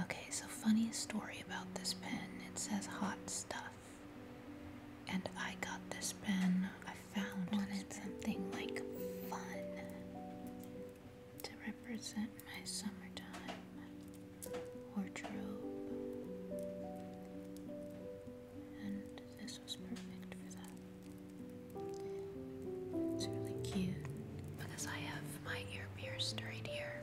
Okay, so funny story about this pen. It says hot stuff. And I got this pen. I found wanted something like fun to represent my summertime wardrobe. And this was perfect for that. It's really cute because I have my ear pierced right here.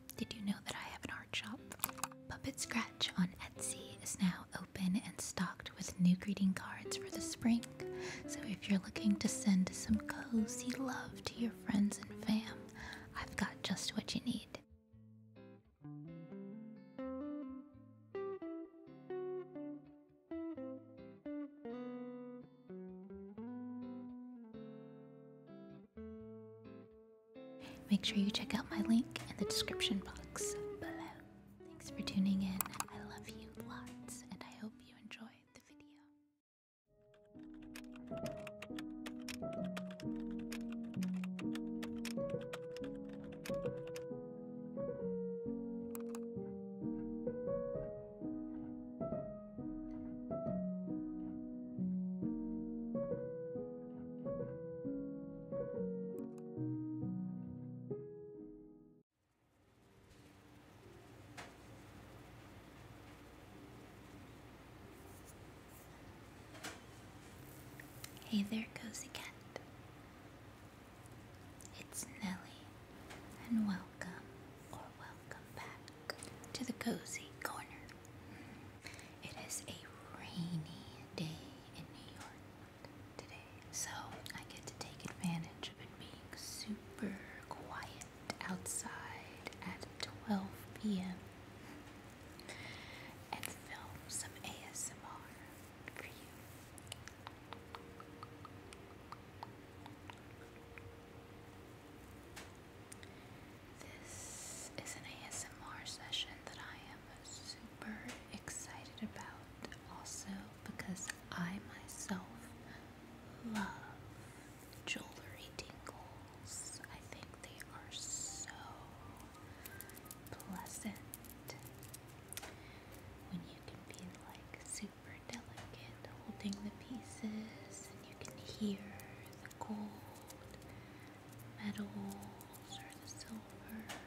Did you know that I have an art shop? Puppet Scratch on Etsy is now open and stocked with new greeting cards for the spring. So if you're looking to send some cozy love to your friends and fam, I've got just what you need. Make sure you check out my link in the description box below. Thanks for tuning in. I love you lots, and I hope you enjoy the video. Hey there, goes again. It's Nellie, and welcome or welcome back to the cozy corner it is a rainy day in New York today, so I get to take advantage of it being super quiet outside at 12 p.m. and film some ASMR for you. This is an ASMR session that I am super excited about, also because I myself love jewelry tingles. I think they are so pleasant when you can be like super delicate holding the pieces and you can hear the gold Metal or the silver.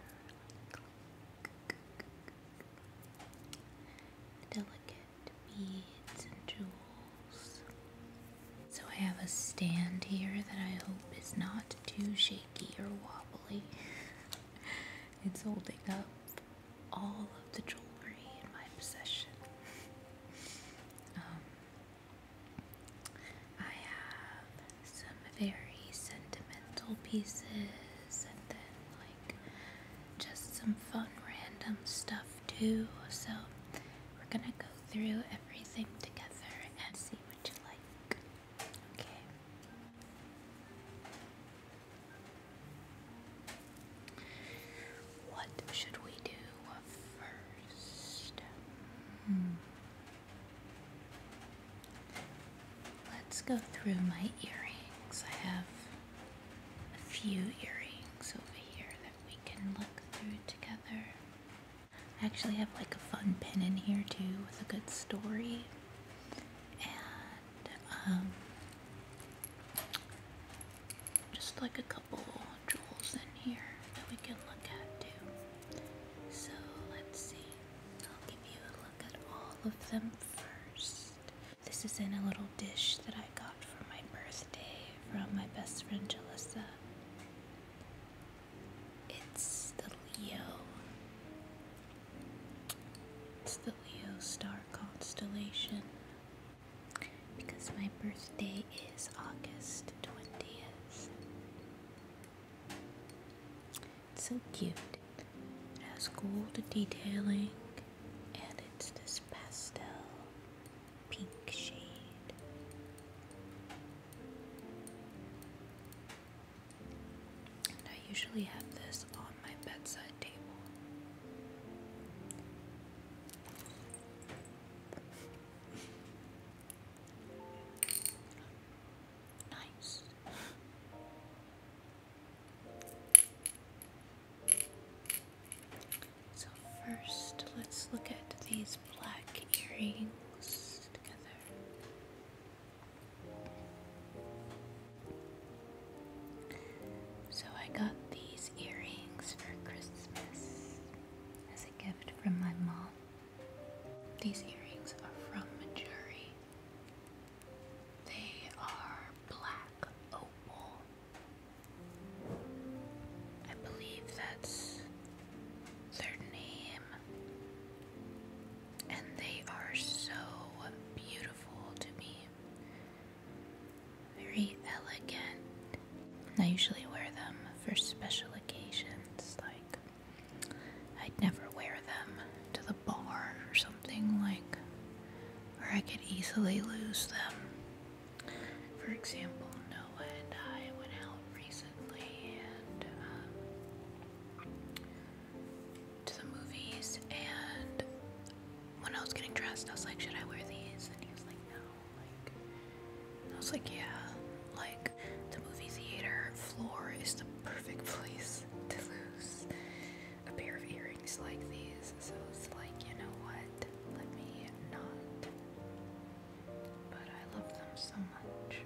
delicate beads and jewels. So I have a stand here that I hope is not too shaky or wobbly. it's holding up all of the jewelry in my possession. Um, I have some very sentimental pieces and then like just some fun random stuff too. So we're gonna go through everything together and see what you like. Okay. What should we do first? Hmm. Let's go through my earrings. I have a few earrings over here that we can look through together. I actually have like a fun pin in here too with a good story. And um, just like a couple jewels in here that we can look at too. So let's see. I'll give you a look at all of them first. This is in a little dish that I got for my birthday from my best friend Jalissa. It's the Leo. It's the Leo star constellation. Because my birthday is August 20th. It's so cute. It has gold detailing and it's this pastel pink shade. I usually have this on my bedside table. Nice. So, first, let's look at these black earrings together. So, I got these earrings for Christmas as a gift from my mom. These earrings are from Manjuri. They are black opal. I believe that's their name. And they are so beautiful to me. Very elegant I usually wear them for special occasions, like I'd never wear them to the bar or something like where I could easily lose them. For example, Noah and I went out recently and um, to the movies and when I was getting dressed, I was like, should I wear these? And he was like, no. I was like, yeah, like the movie theater floor is the perfect place to lose a pair of earrings like these. So it's like, you know what? Let me not. But I love them so much.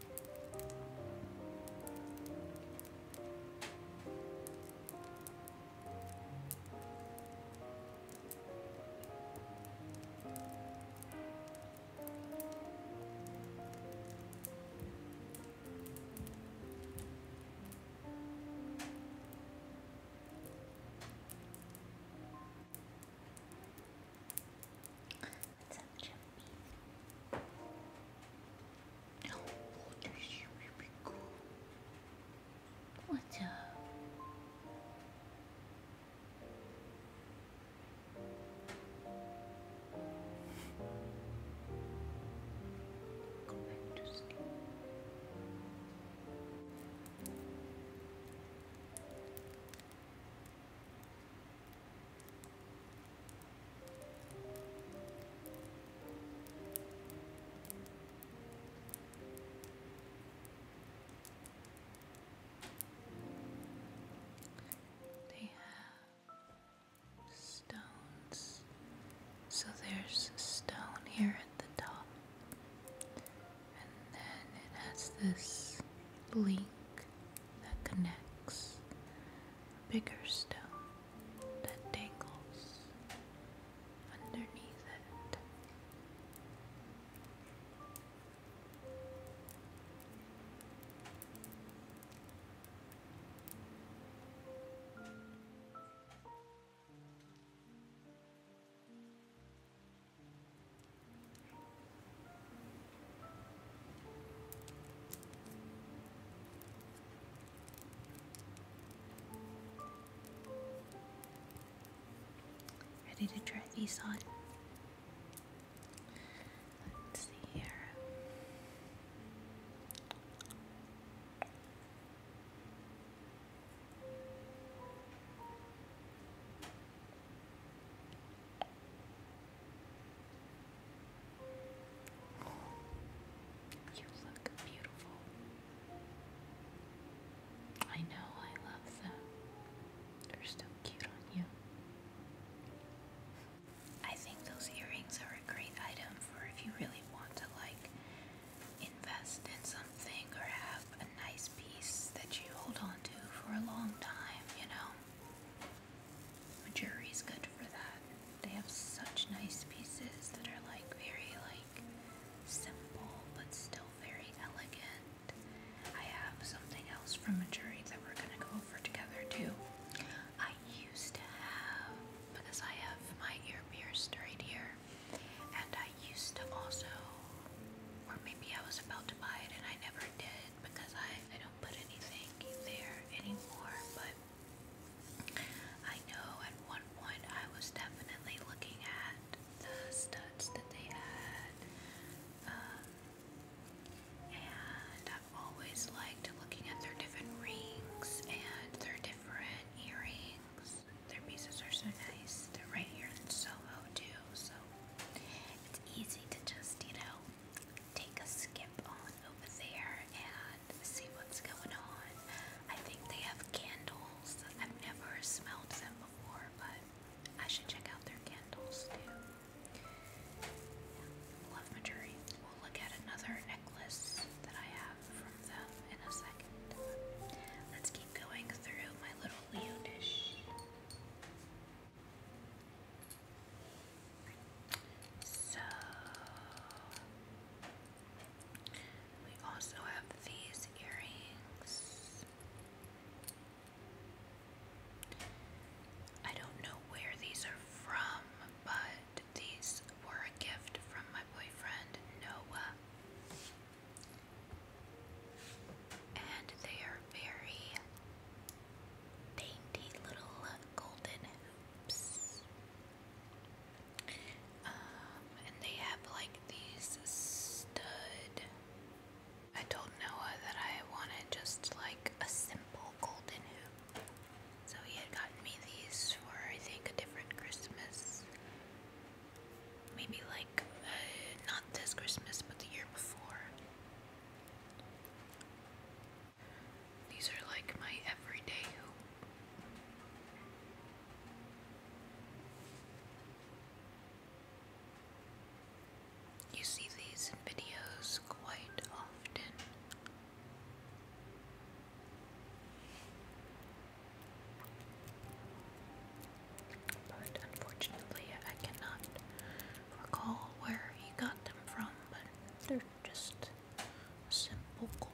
Let's have now water be go. What the Go back sleep. They have stones. So there's a stone here at the top, and then it has this link that connects bigger stone that dangles underneath it. Ready to try these on? Let's see here. You look beautiful. I know I love them. They're so cute on you. I think those earrings are a great item for if you really want to like invest in something or have a nice piece that you hold on to for a long time, you know. A is good for that. They have such nice pieces that are like very like simple but still very elegant. I have something else from a jury that we're gonna go over together too. I used to have because I have my ear pierced right here, and I used to also, or maybe I was about to buy it and I never did because I I don't put anything there anymore. But I know at one point I was definitely looking at the studs that they had, um, and I've always liked looking at their different rings and their different earrings. Their pieces are so nice. They're right here in Soho too, so it's easy to just, you know, take a skip on over there and see what's going on. I think they have candles. I've never smelled them before, but I should check out their candles too. Love Madrid. We'll look at another necklace that I have from them in a second. Let's keep going through my little Leo dish. So we also have these earrings. I don't know where these are from, but these were a gift from my boyfriend Noah. And they are very dainty little uh, golden hoops. Um, and they have like these stud. I told Noah that I wanted just like a simple golden hoop. So he had gotten me these for I think a different Christmas. Maybe like uh, not this Christmas, but the year before. These are like my everyday You see these in videos quite often. But unfortunately, I cannot recall where he got them from, but just simple gold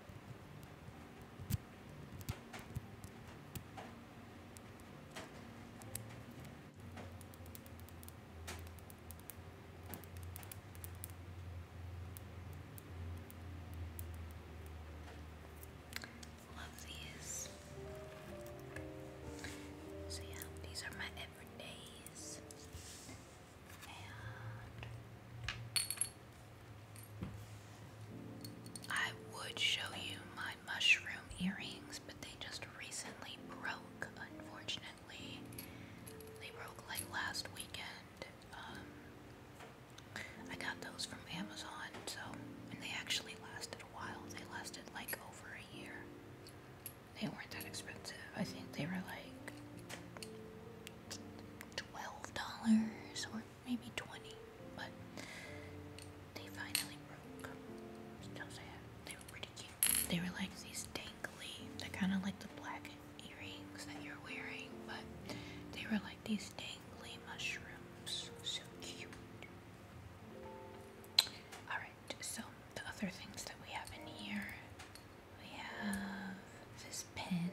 Love these. So yeah, these are my everydays. And I would show you my mushroom earrings, but they just recently broke, unfortunately. They broke like last weekend. Um, I got those from Amazon, so, and they actually lasted a while. They lasted like over a year. They weren't that expensive. I think they were like $12 or maybe 20, but they finally broke. Those I they were pretty cute. They were like these dangly, kind of like the black earrings that you're wearing, but they were like these dangly mushrooms. So cute. Alright, so the other things that we have in here we have this pen.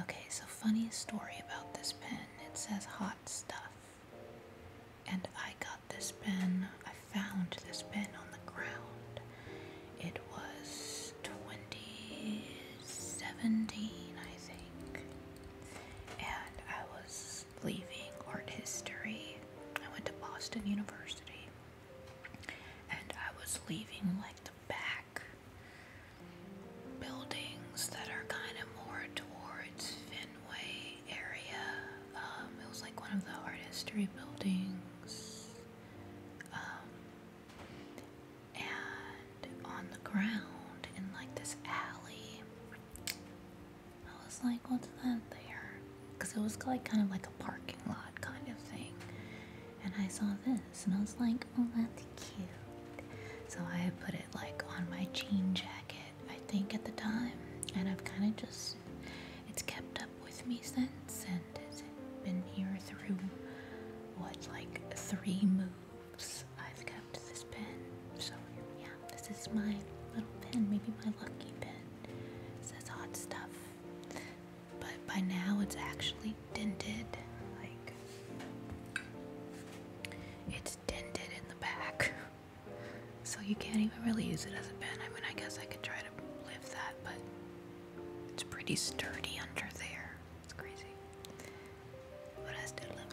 Okay, so funny story about this pen. It says hot stuff. And I got this pen, I found this pen on the ground. It was 2017, I think. And I was leaving art history. I went to Boston University. And I was leaving like the back buildings that are kind of more towards Fenway area. Um, it was like one of the art history buildings. Um, and on the ground in like this alley, I was like, what's that there? Because it was like kind of like a parking lot kind of thing and I saw this and I was like, oh, that's cute. So I put it like on my jean jacket, I think, at the time, and I've kind of just, it's kept up with me since, and it's been here through what, like three moves. I've kept this pin, so yeah, this is my little pin, maybe my lucky pin. says hot stuff but by now it's actually dented. Like, it's dented in the back. So you can't even really use it as a pen. I mean, I guess I could try to lift that, but it's pretty sturdy under there. It's crazy. But I still love it.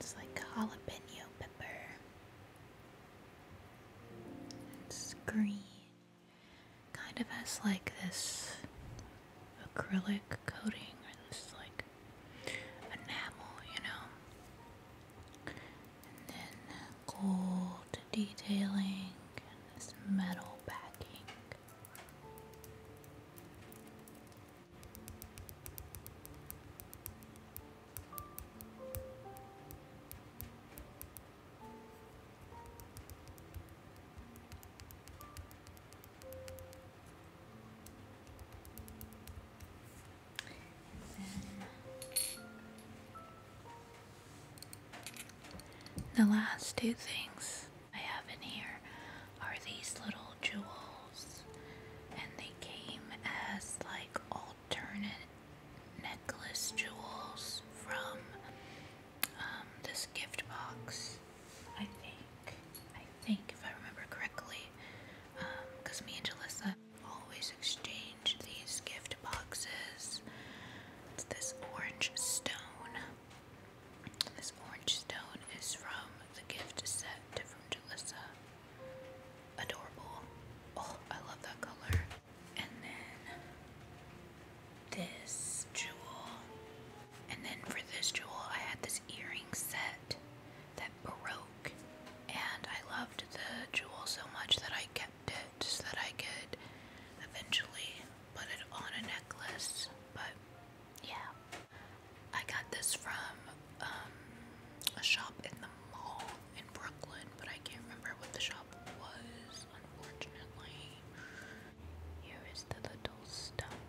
It's like jalapeno pepper. It's green. Kind of has like this acrylic coating or this like enamel, you know. And then gold detailing and this metal backing the last two things I have in here are these little jewels, and they came as like all alternate necklace jewels from um, this gift box. I think, I think if I remember correctly, because um, me and Jalissa always exchange these gift boxes. this orange stone. This orange stone is from the gift set from Jalissa. Adorable. Oh, I love that color and then this jewel. And then for this jewel, I had this earring set that broke, and I loved the jewel so much that I kept it so that I could eventually put it on a necklace. But yeah, I got this from um, a shop in the mall in Brooklyn, but I can't remember what the shop was, unfortunately. Here is the little stone.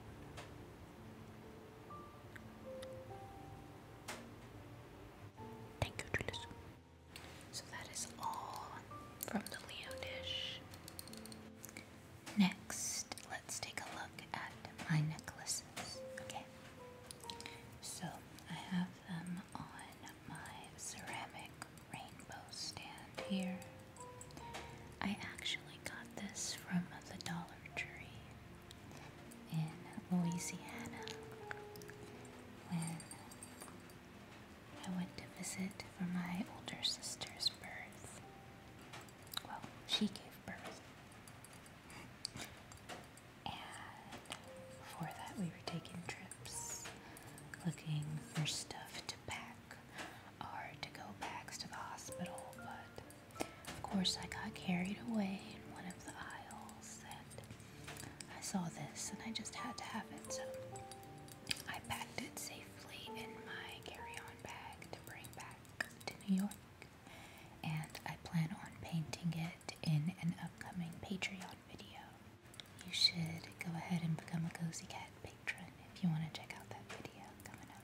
Thank you, Julius. So that is all from the Leo dish. Next, let's take a look at my necklaces. Okay. So I have them um, on my ceramic rainbow stand here. I actually got this from the Dollar Tree in Louisiana when I went to visit for my older sister's birth. Well, she gave birth and before that we were taking trips looking for stuff to pack or to go back to the hospital but of course I got carried away in one of the aisles and I saw this and I just had to have it so I packed it safely in my carry-on bag to bring back to New York and I plan on painting it in an upcoming Patreon video. You should go ahead and become a Cozy Cat patron if you want to check out that video coming up.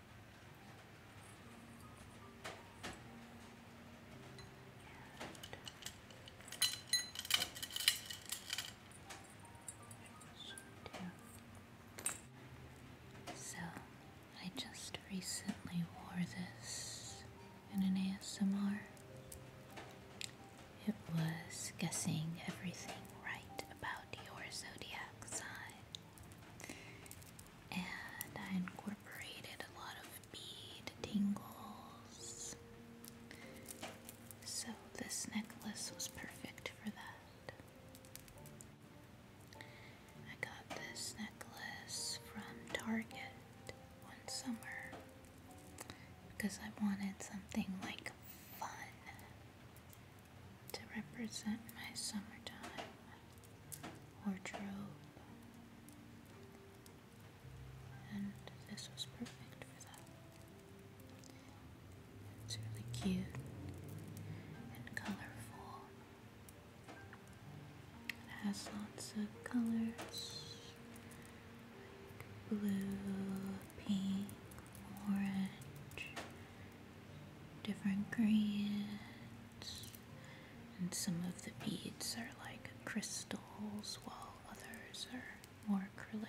So, I just recently wore this in an ASMR. It was guessing everything right about your zodiac sign and I incorporated a lot of bead tingles. So this necklace was perfect for that. I got this necklace from Target one summer because I wanted something like fun to represent my summertime wardrobe. And this was perfect for that. It's really cute and colorful. It has lots of colors blue, pink, orange, different grants, and some of the beads are like crystals, while others are more acrylic.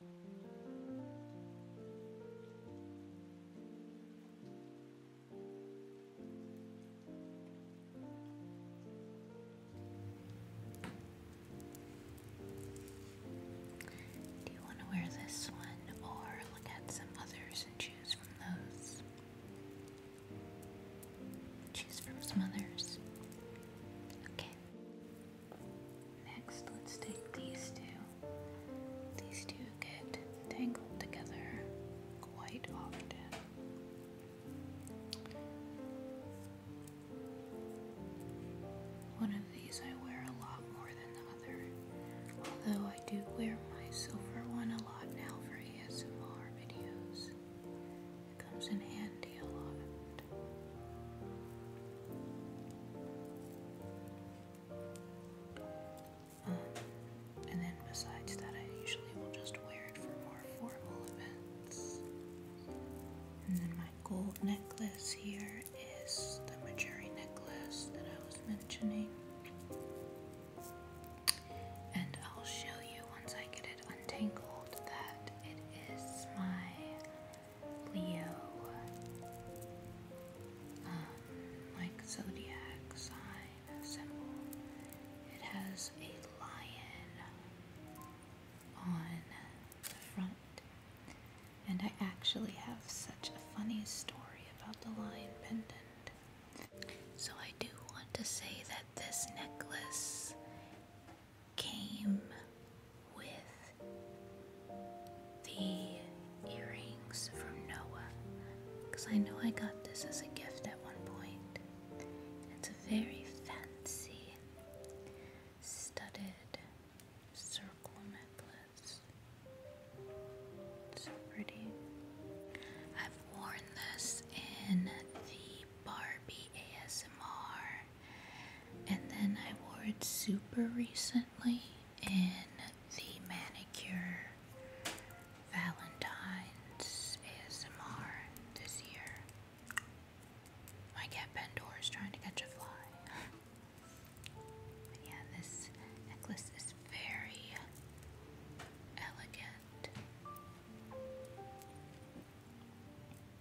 Do you want to wear this one or look at some others and choose from those? Choose from some others. Okay. Next, let's take these two. These two get tangled together quite often. One of these I wear a lot more than the other, although I do wear my silver one a lot now for ASMR videos comes in handy a lot. Um, and then besides that, I usually will just wear it for more formal events. And then my gold necklace here is the Majuri necklace that I was mentioning. And I'll show you once I get it untangled that it is my Leo, um, like zodiac sign symbol. It has a lion on the front, and I actually have such a funny story about the lion pendant. So I do want to say that this necklace came with the earrings from Noah because I know I got this as a gift at one point. It's a very fancy studded circle necklace. So pretty. I've worn this in the Barbie ASMR and then I wore it super recently in the Manicure Valentine's ASMR this year. My cat Pandora is trying to catch a fly. yeah, this necklace is very elegant.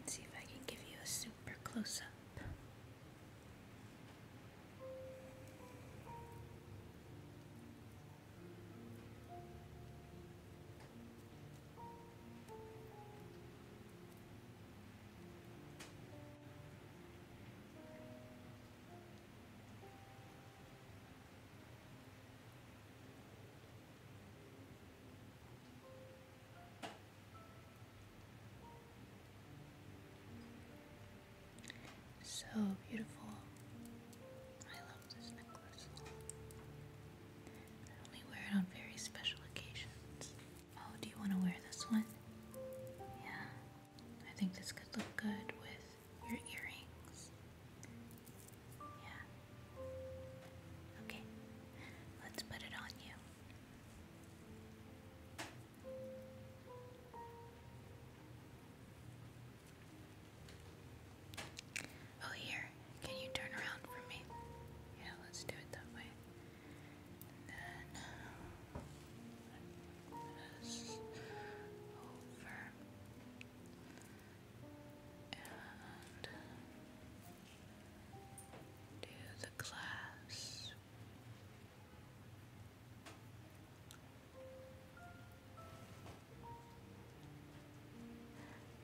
Let's see if I can give you a super close up. So beautiful. I love I only wear it on very special occasions. Oh, do you want to wear this one? Yeah. I think this could look good with your earrings. Yeah. Okay. Let's put it on you. Oh, here. Can you turn around for me? Yeah, let's do it that way. then over and do the glass.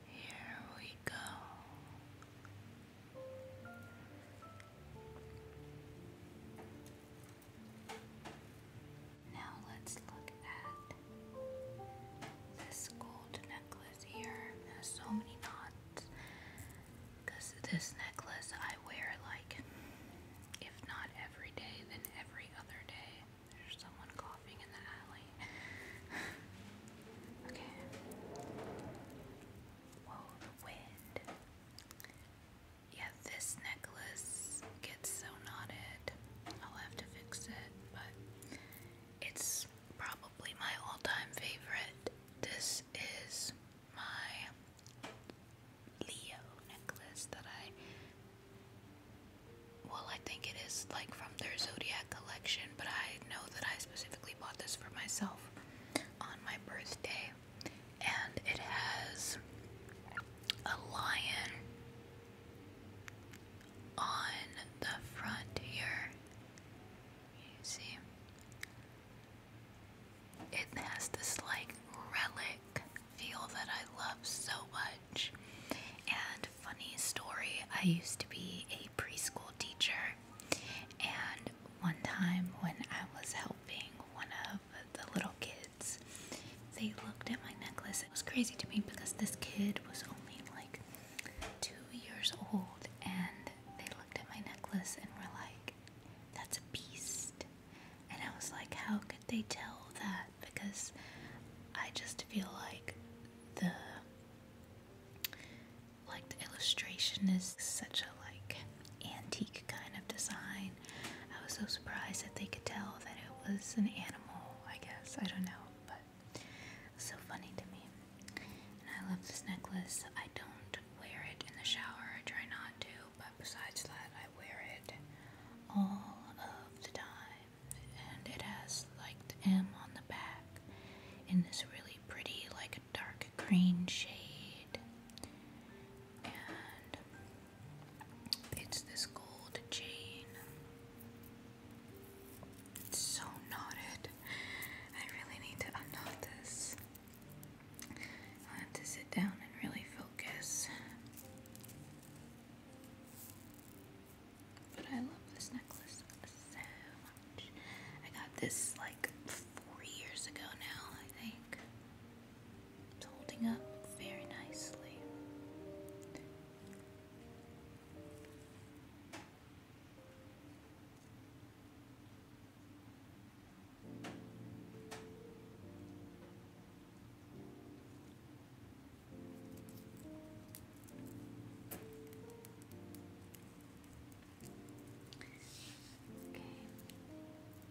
Here we go. Now let's look at this gold necklace here. so many knots. Because this necklace I wear like, if not every day, then every other day. There's someone coughing in the alley. okay. Whoa, the wind. Yeah, this necklace gets so knotted. I'll have to fix it, but it's probably my all time favorite. This is my Leo necklace that I well, I think it is like from their Zodiac collection, but I know that I specifically bought this for myself on my birthday. And it has a lion on the front here. You see? It has this like relic feel that I love so much. And funny story, I used to be a preschool teacher, and one time when I was helping one of the little kids, they looked at my necklace. It was crazy to me because this kid was only like two years old, and they looked at my necklace and were like, That's a beast. And I was like, How could they tell that? because I just feel like the like illustration is such a like antique kind of design. I was so surprised that they could tell that it was an animal, I guess. I don't know, but so funny to me. And I love this necklace. I don't wear it in the shower. I try not to, but besides that, I wear it all of the time and it has like the M on the back in this really pretty, like a dark green shade. And it's this gold chain. It's so knotted. I really need to unknot this. I'll to sit down and really focus. But I love this necklace so much. I got this like four years ago now, I think. It's holding up very nicely.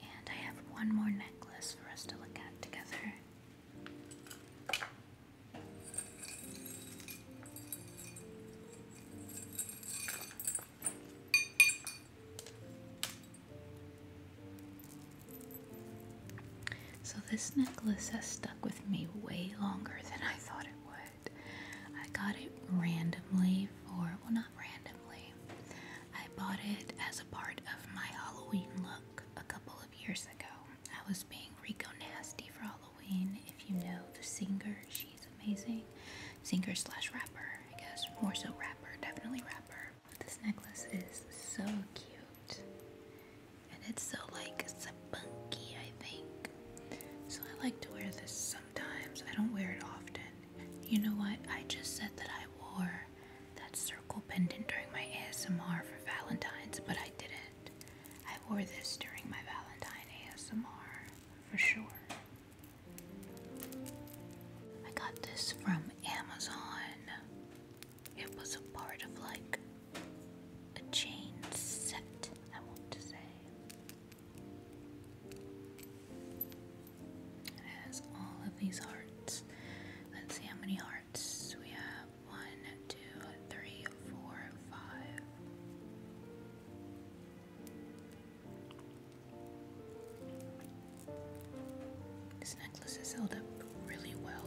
And I have one more necklace for us to look at together. So, this necklace has stuck with me way longer than I thought it would. I got it randomly or well, not randomly. I bought it as a part of my Halloween look a couple of years ago. I was being Rico Nasty for Halloween. If you know the singer, she's amazing. Singer slash rapper, I guess. More so rapper, definitely rapper. This necklace is so cute. And it's so like spunky, I think. So I like to wear this sometimes. I don't wear it often. You know what? I just said that I wore that circle pendant during my ASMR for Valentine's, but I didn't. I wore this during my Valentine ASMR for sure. I got this from Amazon. It was a part of like a chain set, I want to say. It has all of these hearts. Let's see how many hearts we have. One, two, three, four, five. This necklace is held up really well.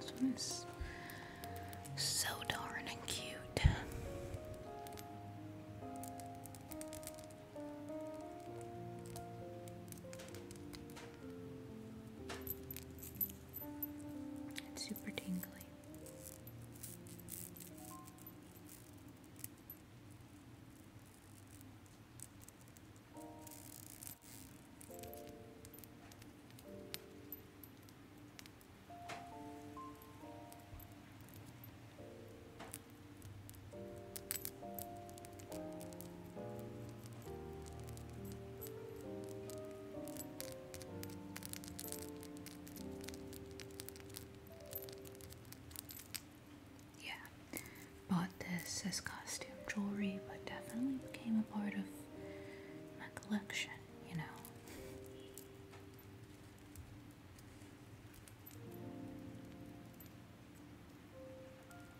This one is so darn cute. It's super tingly. Yeah, bought this as costume jewelry, but definitely became a part of my collection, you know.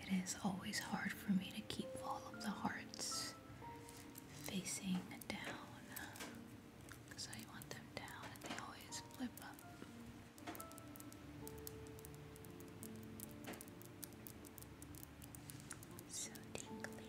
It is always hard for me to keep all of the hearts facing down because I want them down and they always flip up. So tingly.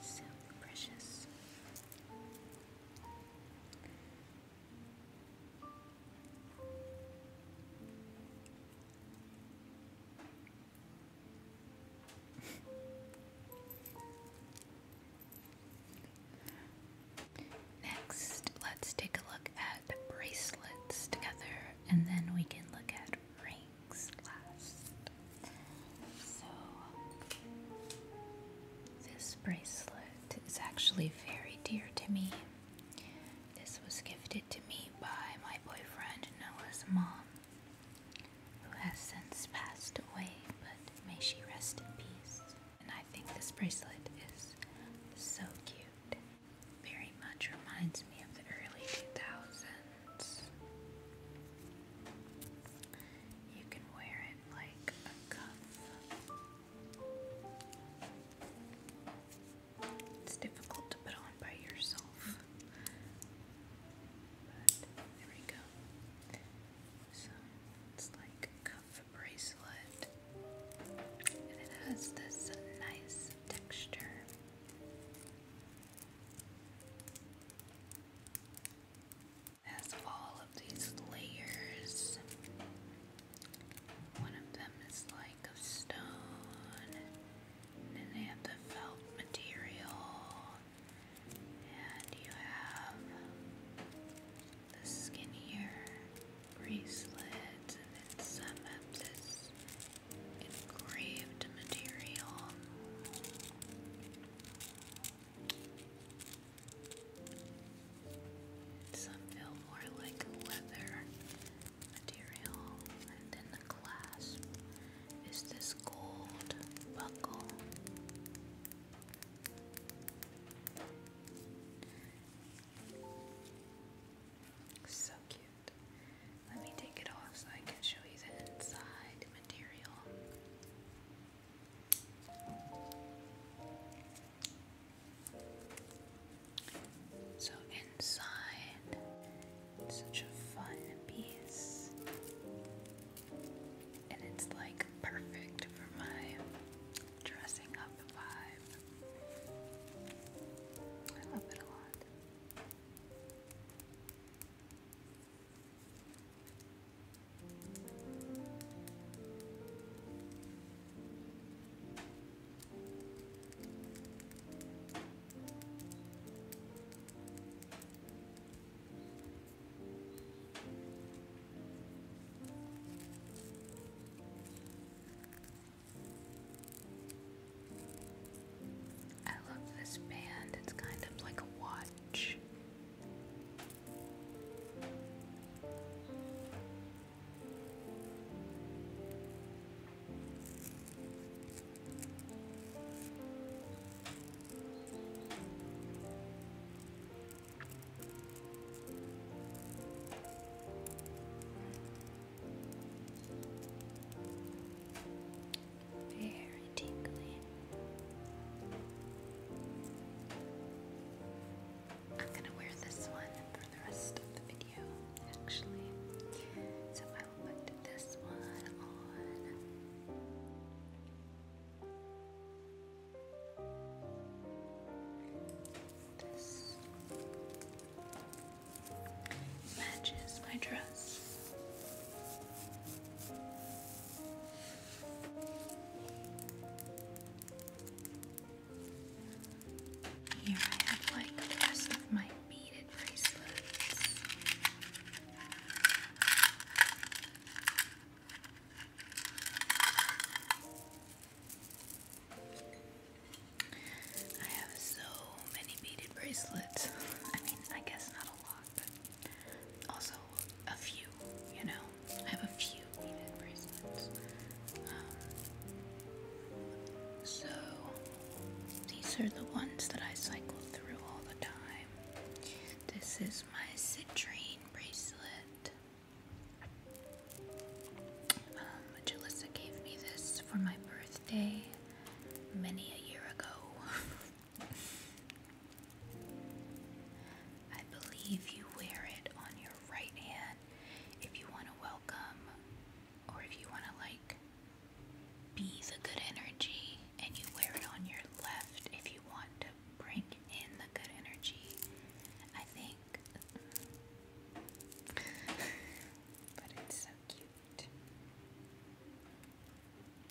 So precious. Next, let's take a look at bracelets together and then we can look at rings last. So, this bracelet is actually very dear to me. This was gifted to me by my boyfriend Noah's mom, who has since passed away, but may she rest in peace. And I think this bracelet is so cute. Very much reminds me of the early 2000s. You can wear it like a cuff. It's difficult to put on by yourself. But there we go. So it's like a cuff bracelet. And it has this nice texture has all of these layers. One of them is like of stone, and then have the felt material, and you have the skinnier bracelet, and then some of this engraved material. Some feel more like leather material, and then the clasp is this gold buckle. So cute. Let me take it off so I can show you the inside material. So inside, such a fun piece, and it's like perfect for my dressing up vibe. I love it a lot. I love this band. It's kind of like a watch. Very tingly. I'm gonna wear this one for the rest of the video, actually. So I will put this one on. This matches my dress. Here I have like of my beaded bracelets. I have so many beaded bracelets. I mean, I guess not a lot also a few, you know? I have a few beaded bracelets. Um, so, these are the ones that I cycle through all the time. This is my citrine bracelet. Um, Jalissa gave me this for my birthday many a year ago. I believe you wear it on your right hand if you want to welcome or if you want to like be the good energy and you wear it on your left if you want to bring in the good energy. I think but it's so cute.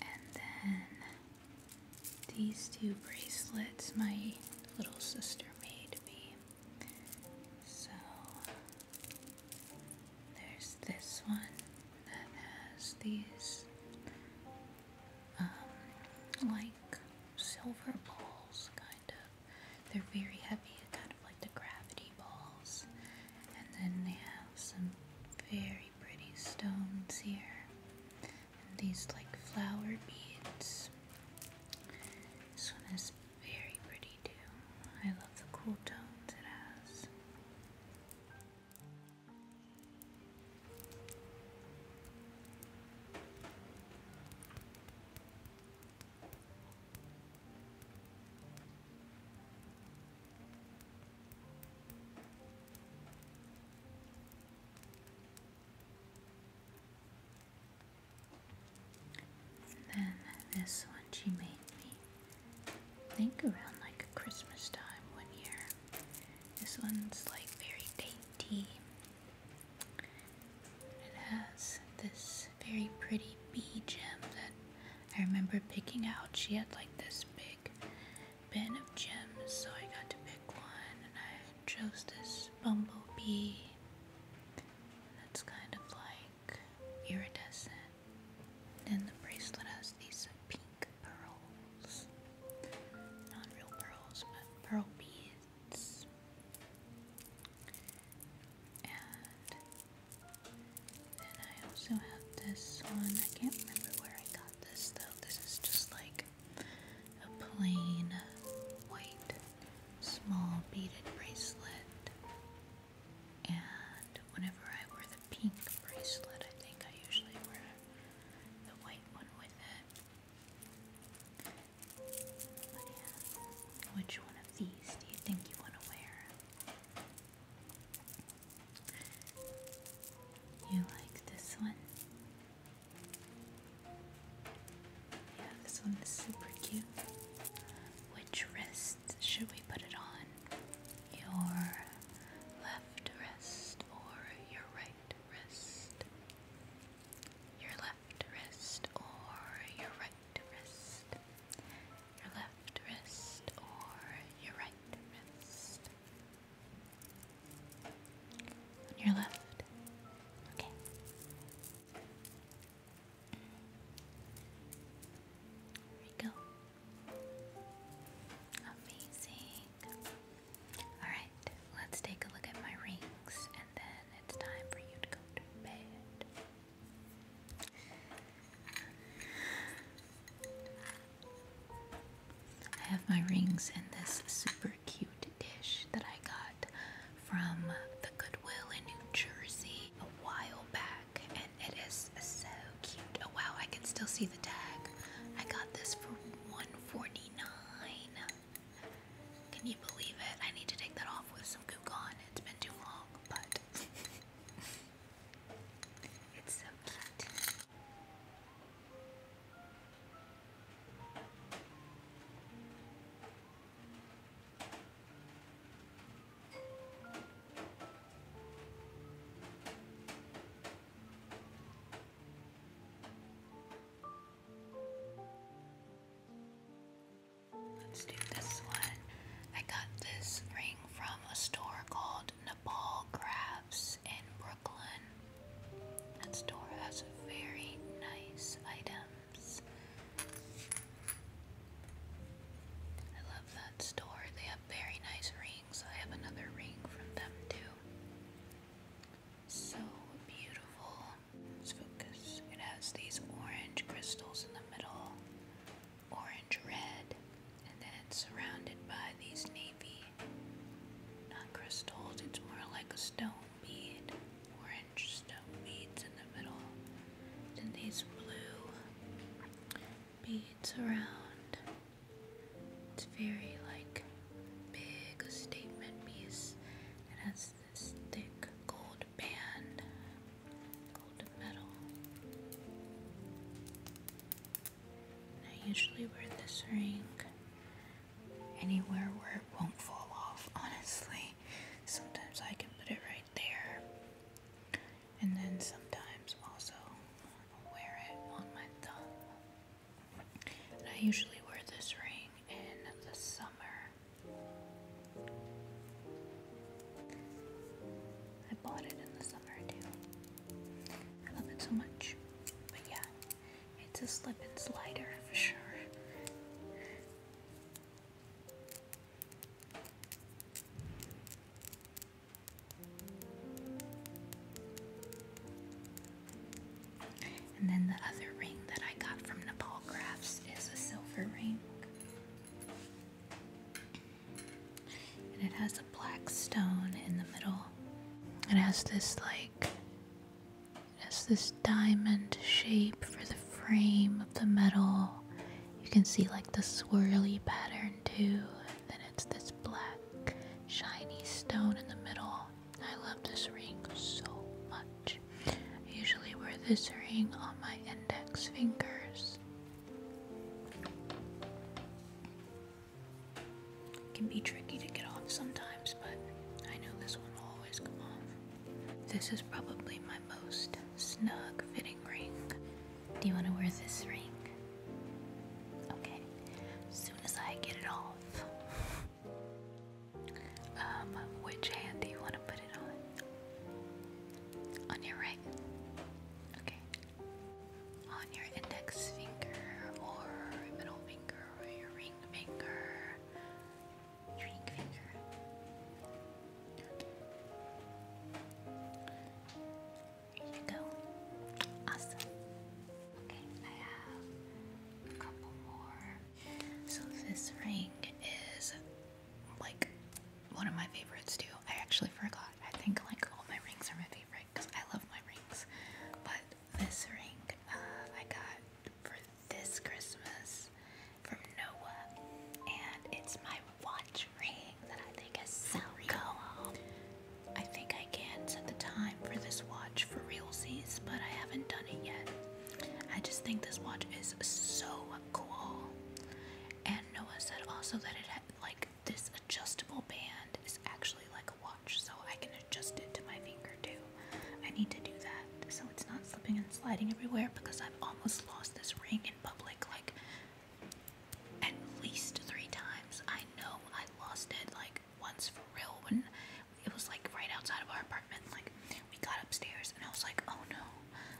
And then these two bracelets my little sister made me. So there's this one that has these um, like silver balls, kind of. They're very heavy, kind of like the gravity balls. And then they have some very pretty stones here. And these like flower beads. This one is very pretty too. I love the cool tones it has then this one she made me think around like Christmas time one year. This one's like very dainty. It has this very pretty bee gem that I remember picking out, she had like this big bin of gems, so I got to pick one and I chose this bumblebee that's kind of like iridescent. Then the bracelet has these pink pearls. Not real pearls, but pearl beads. And then I also have this one. I can't remember where I got this though. This is just like a plain white small beaded bracelet. And whenever I wear the pink bracelet, I think I usually wear the white one with it. But yeah. Which one of these do you think you want to wear? You like this one? Yeah, this one is super cute. Which wrist should we put it on? Your left wrist or your right wrist? Your left wrist or your right wrist? your left wrist or your right wrist? your left. Okay. There we go. Amazing. Alright, let's take a look at my rings and then it's time for you to go to bed. I have my rings in this super cute dish that I got from the Goodwill in New Jersey a while back, and it is so cute. Oh wow, I can still see the tag. I got this for $1.49. Can you believe it? I need to take that off with some gook on. It's been too long, but It's so cute. Let's do this one. I got this ring from a store called Nepal Crafts in Brooklyn. That store has very nice items. I love that store. They have very nice rings. I have another ring from them too. So beautiful. Let's focus. It has these orange crystals in the middle orange red, and then it's surrounded by these navy, not crystals, it's more like a stone bead, orange stone beads in the middle, and these blue beads around. It's very like big, statement piece. It has this thick gold band I usually wear this ring anywhere where it won't fall off, honestly. Sometimes I can put it right there, and then sometimes also wear it on my thumb. I usually wear this ring in the summer. I bought it in the summer too. I love it so much. But yeah, it's a slip and slider for sure. And then the other ring that I got from Nepal Crafts is a silver ring and it has a black stone in the middle. It has this like it has this diamond shape for the frame of the metal. You can see like the swirly pattern too, then it's this black shiny stone in the middle. I love this ring so much. I usually wear this ring on my index fingers can be tricky to get off sometimes, but I know this one will always come off. This is probably my most snug fitting ring. Do you want to wear this ring? Okay, soon as I get it off. um, which hand do you want to put it on? On your right. Okay on your index finger or middle finger or your ring finger. ring finger. Here you go. Awesome. Okay, I have a couple more. So this ring is like one of my favorites too. I actually forgot. I think like all my rings are my favorite because I love my rings. But this ring uh, I got for this Christmas from Noah, and it's my watch ring that I think is so cool. I think I can set the time for this watch for realsies, but I haven't done it yet. I just think this watch is so cool. And Noah said also that it ha like this adjustable band is actually like a watch, so I can adjust it to my finger too. I need to do that so it's not slipping and sliding everywhere because I've almost lost this ring in public like at least three times. I know I lost it like once for real when it was like right outside of our apartment. Like we got upstairs and I was like, oh no.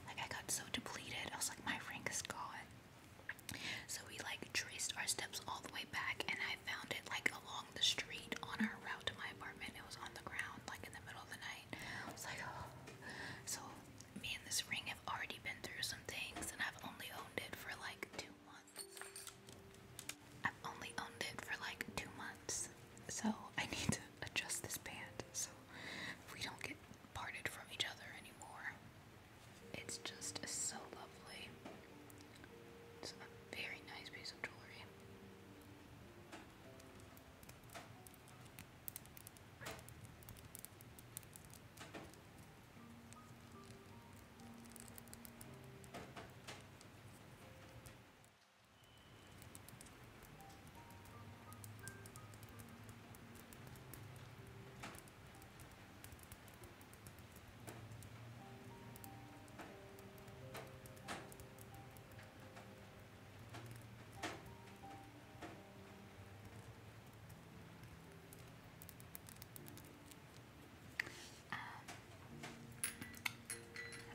Like I got so depleted. I was like, my ring is gone. So we like traced our steps all the way back, and I found it like along the street on our route to my apartment. It was on the ground, like in the middle of the night. I was like, So me and this ring have already been through some things, and I've only owned it for like two months. I've only owned it for like two months. So I need to adjust this band so we don't get parted from each other anymore. It's just so lovely. It's a very nice piece of jewelry. Um,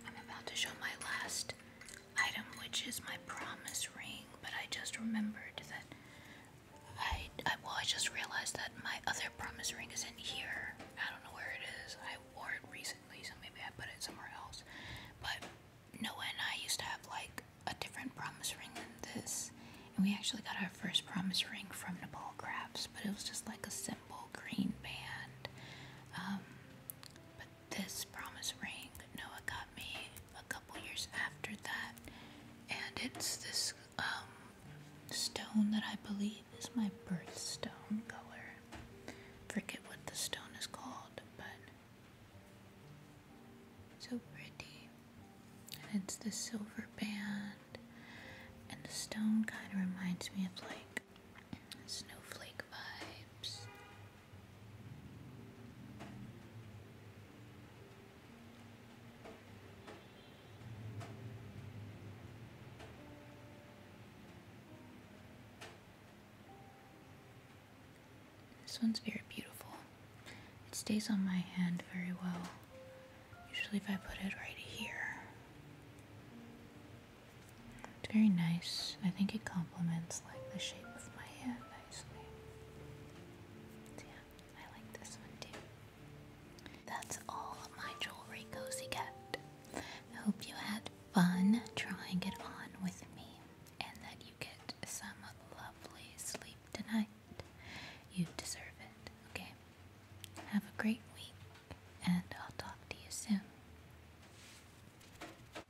I'm about to show my last item, which is my promise ring, but I just remembered that I, well, I just realized that my other promise ring is in here. I don't know where it is. I wore it recently, so maybe I put it somewhere else. But Noah and I used to have like a different promise ring than this, and we actually got our first promise ring from Nepal Crafts, but it was just like a simple green band. Um, but this promise ring Noah got me a couple years after that, and it's this um, stone that I believe is my birthstone color. Forget what the stone is called, but so pretty. And it's the silver band, and the stone kind of reminds me of like snowflake vibes. This one's very beautiful. It stays on my hand very well. Usually if I put it right here. It's very nice. I think it complements like the shape of my hand. I That's all my jewelry cozy kept. hope you had fun trying it on with me and that you get some lovely sleep tonight. You deserve it, okay? Have a great week and I'll talk to you soon.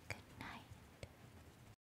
Good night.